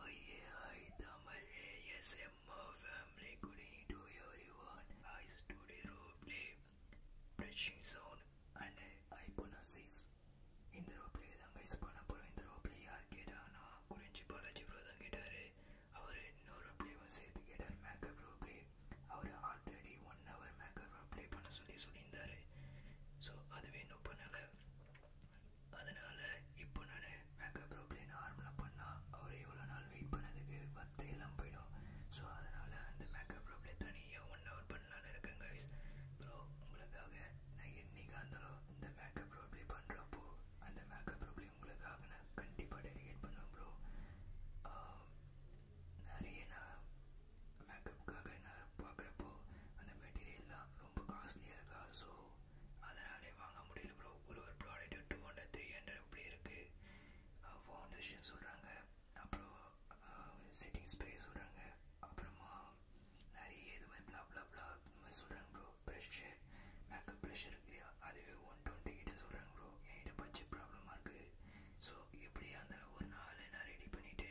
Oye, hi Tamale, yes, Emma family, good evening to everyone. I study roleplay, brushing sound, and I hypnosis. இந்த roleplay தான் guys பண்ண போகிறோம் இந்த ரோப்ளே யார் கேட்டானா குறிஞ்சி பாலாஜி ப்ரோ தான் கேட்டார் அவர் இன்னொரு ரோப்ளேவும் சேர்த்து கேட்டார் மேக்கப் ரோப்ளே அவர் already one hour makeup roleplay பண்ண சொல்லி சொல்லியிருந்தார் ஸோ அதுவே இன்னும் பண்ணலை அதனால் இப்போ நான் மேக்கப் ப்ரோப்ளின் நார்மலாக பண்ணால் அவர் எவ்வளோ நாள் வெயிட் பண்ணதுக்கு பத்து எல்லாம் போயிடும் ஸோ அதனால் அந்த மேக்கப் ப்ரோப்ளே தனியாக ஒன் ஹவர் பண்ணலான்னு இருக்கேன் ப்ரோ உங்களுக்காக நான் என்றைக்கு இருந்தாலும் இந்த மேக்கப் ப்ரோப்ளே பண்ணுறப்போ அந்த மேக்கப் ப்ரோப்ளே உங்களுக்காக நான் கண்டிப்பாக டெடிகேட் பண்ணுவேன் ப்ரோ நிறைய நான் மேக்கப்புக்காக நான் பார்க்குறப்போ அந்த மெட்டீரியல்லாம் ரொம்ப காஸ்ட்லியாக இருக்கா ஸோ ப்ரோ அதனாலே வாங்க முடியல ப்ரோ ஒரு ஒரு product two hundred three hundred இப்படி இருக்குது ஃபவுண்டேஷன் சொல்கிறாங்க அப்புறம் செட்டிங் ஸ்ப்ரே சொல்கிறாங்க அப்புறமா நிறைய இது மாதிரி பிளா பிளா பிளா இந்த மாதிரி சொல்கிறாங்க ப்ரோ ப்ரெஷ்ஷு மேக்கப் ப்ரெஷ் இருக்கு இல்லையா அதுவே ஒன் டுவெண்ட்டி கிட்ட சொல்கிறாங்க ப்ரோ என்கிட்ட பட்ஜெட் ப்ராப்ளமாக இருக்குது ஸோ எப்படி அந்த ஒரு நாள் நான் ரெடி பண்ணிவிட்டு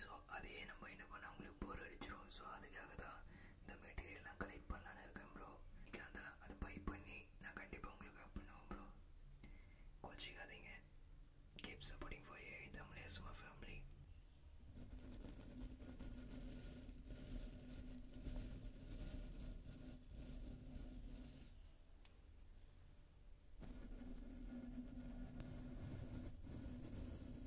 ஸோ அதையே நம்ம என்ன பண்ண அவங்களுக்கு போர் அடிச்சிடும் ஸோ அதுக்காக தான் இந்த மெட்டீரியல்லாம் கலெக்ட் பண்ணலான்னு இருக்கேன் ப்ரோ இங்கே அதெல்லாம் அது பை பண்ணி நான் கண்டிப்பாக உங்களுக்கு ஹெல்ப் பண்ணுவேன் ப்ரோ கோச்சிக்காதீங்க keep supporting for A Tamil சும்மா ஃபேமிலி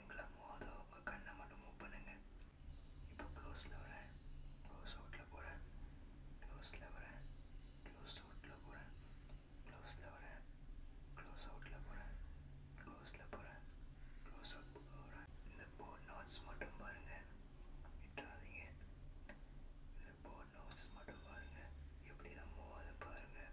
எங்களை மோத உங்கள் கண்ணை மட்டும் மூவ் பண்ணுங்கள் இப்போ க்ளோஸில் வரேன் க்ளோஸ் அவுட்டில் போகிறேன் க்ளோஸில் வரேன் க்ளோஸ் அவுட்டில் போகிறேன் க்ளோஸில் வரேன் க்ளோஸ் அவுட்டில் போகிறேன் க்ளோஸில் போகிறேன் க்ளோஸ் அவுட் போகிறேன் இந்த போர்ட் நோட்ஸ் மட்டும் பாருங்கள் விட்டுறாதீங்க இந்த போர்ட் நோட்ஸ் மட்டும் பாருங்கள் எப்படி நம்ம அதை பாருங்கள்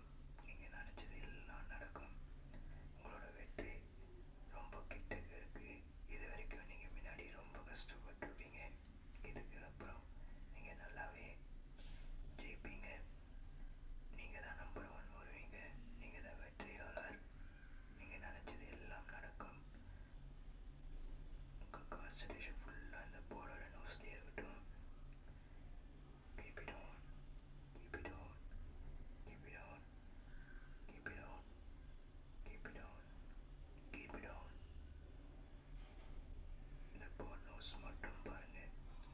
நடக்கும் நீங்கள் நினச்சது எல்லாம் நடக்கும் உங்களோட வெற்றி ரொம்ப கிட்டக்கு இருக்குது இது வரைக்கும் நீங்கள் முன்னாடி ரொம்ப கஷ்டப்பட்டுருப்பீங்க இதுக்கு அப்புறம் நீங்கள் நல்லாவே ஜெயிப்பீங்க நீங்கள் தான் நம்பர் ஒன் வருவீங்க நீங்கள் தான் வெற்றியாளர் நீங்கள் நினச்சது எல்லாம் நடக்கும் உங்கள் கான்சன்ட்ரேஷன் ஃபுல்லாக அந்த போர்டோட நோஸ்லேயே இருக்கட்டும் Keep it on. Keep it on. Keep it on. Keep it on. Keep it on. Keep it on. இந்த போர் நோஸ் மட்டும் பாருங்க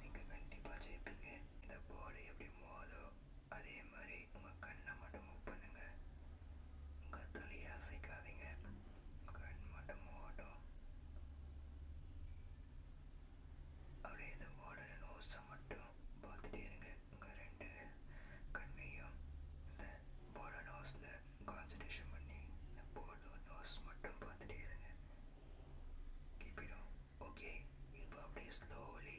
நீங்கள் கண்டிப்பாக ஜெயிப்பீங்க இந்த போர்டு எப்படி மோதோ அதே மாதிரி உங்கள் கண்ணை மட்டும் மூவ் பண்ணுங்கள் உங்கள் தலையை அசைக்காதீங்க கண்மட்டம் ஓடும் அப்படியே இந்த ஓடுற நோஸை மட்டும் பார்த்துட்டே இருங்க உங்கள் ரெண்டு கண்ணையும் இந்த போர்டு நோஸில் கான்சன்ட்ரேஷன் பண்ணி இந்த போர்டு நோஸ் மட்டும் பார்த்துட்டே இருங்க கிப்பிடும் ஓகே இப்போ அப்படியே ஸ்லோலி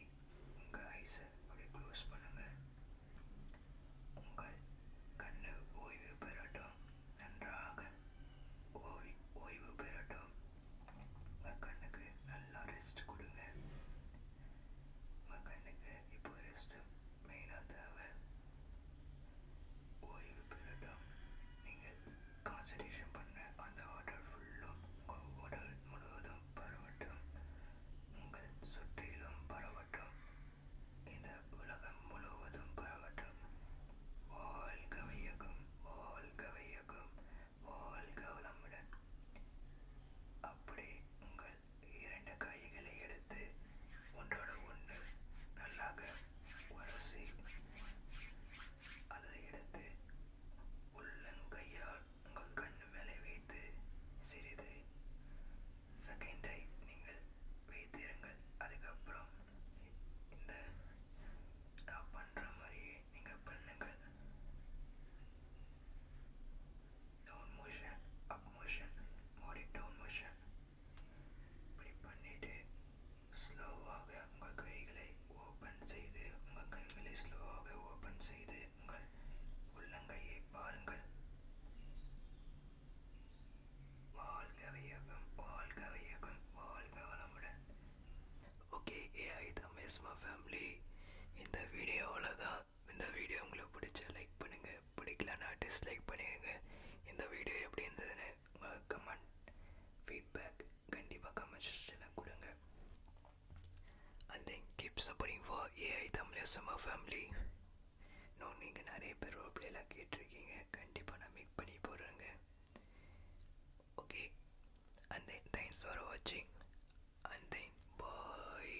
உங்கள் ஐஸை அப்படியே க்ளோஸ் பண்ணுங்கள் உங்கள் கண்ணு ஓய்வு பெறட்டும் நன்றாக ஓய் ஓய்வு பெறட்டும் உங்கள் கண்ணுக்கு நல்லா ரெஸ்ட் கொடுங்க உங்கள் கண்ணுக்கு இப்போ ரெஸ்ட்டு மெயினாக தேவை ஓய்வு பெறட்டும் நீங்கள் கான்சன்ட்ரேஷன் பண்ண அந்த வாட்டர் ஃபுல்லும் உங்கள் உடல் முழுவதும் பரவட்டும் உங்கள் சுற்றிலும் பரவட்டும் இது உலகம் முழுவதும் பரவட்டும் வாழ்க வையகம் வாழ்க வையகம் வாழ்க வளமுடன் அப்படி உங்கள் இரண்டு கைகளை எடுத்து ஒன்றோட ஒன்று நல்லாக உரசி அதை எடுத்து உள்ளங்கையால் உங்கள் கண்ணு மேலே வைத்து சிறிது செகண்டை நீங்கள் வைத்திருங்கள் அதுக்கப்புறம் இந்த நான் பண்ணுற மாதிரியே நீங்கள் பண்ணுங்கள் டவுன் மோஷன் அப் மோஷன் மோடி டவுன் மோஷன் இப்படி பண்ணிவிட்டு ஸ்லோவாக உங்கள் கைகளை ஓப்பன் செய்து உங்கள் கண்களை ஸ்லோவாக ஓப்பன் செய்து உங்கள் உள்ளங்கையை பாருங்கள் வாழ்க வையகம் வாழ்க வையகம் வாழ்க வளமுடன் ஓகே ஏஐ தமேஸ்மா ஃபேமிலி இந்த வீடியோவில் தான் இந்த வீடியோ உங்களுக்கு பிடிச்ச லைக் பண்ணுங்கள் பிடிக்கலன்னா டிஸ்லைக் பண்ணிடுங்க இந்த வீடியோ எப்படி இருந்ததுன்னு உங்கள் கமெண்ட் ஃபீட்பேக் கண்டிப்பாக கமெண்ட் செக்ஷனில் கொடுங்க and then keep supporting for AI Tamil family இன்னும் நீங்கள் நிறைய பேர் அப்படியெல்லாம் கேட்டிருக்கீங்க கண்டிப்பாக நான் மேக் பண்ணி போடுறேங்க ஓகே அந்த தேங்க்ஸ் ஃபார் வாட்சிங் அந்த பாய்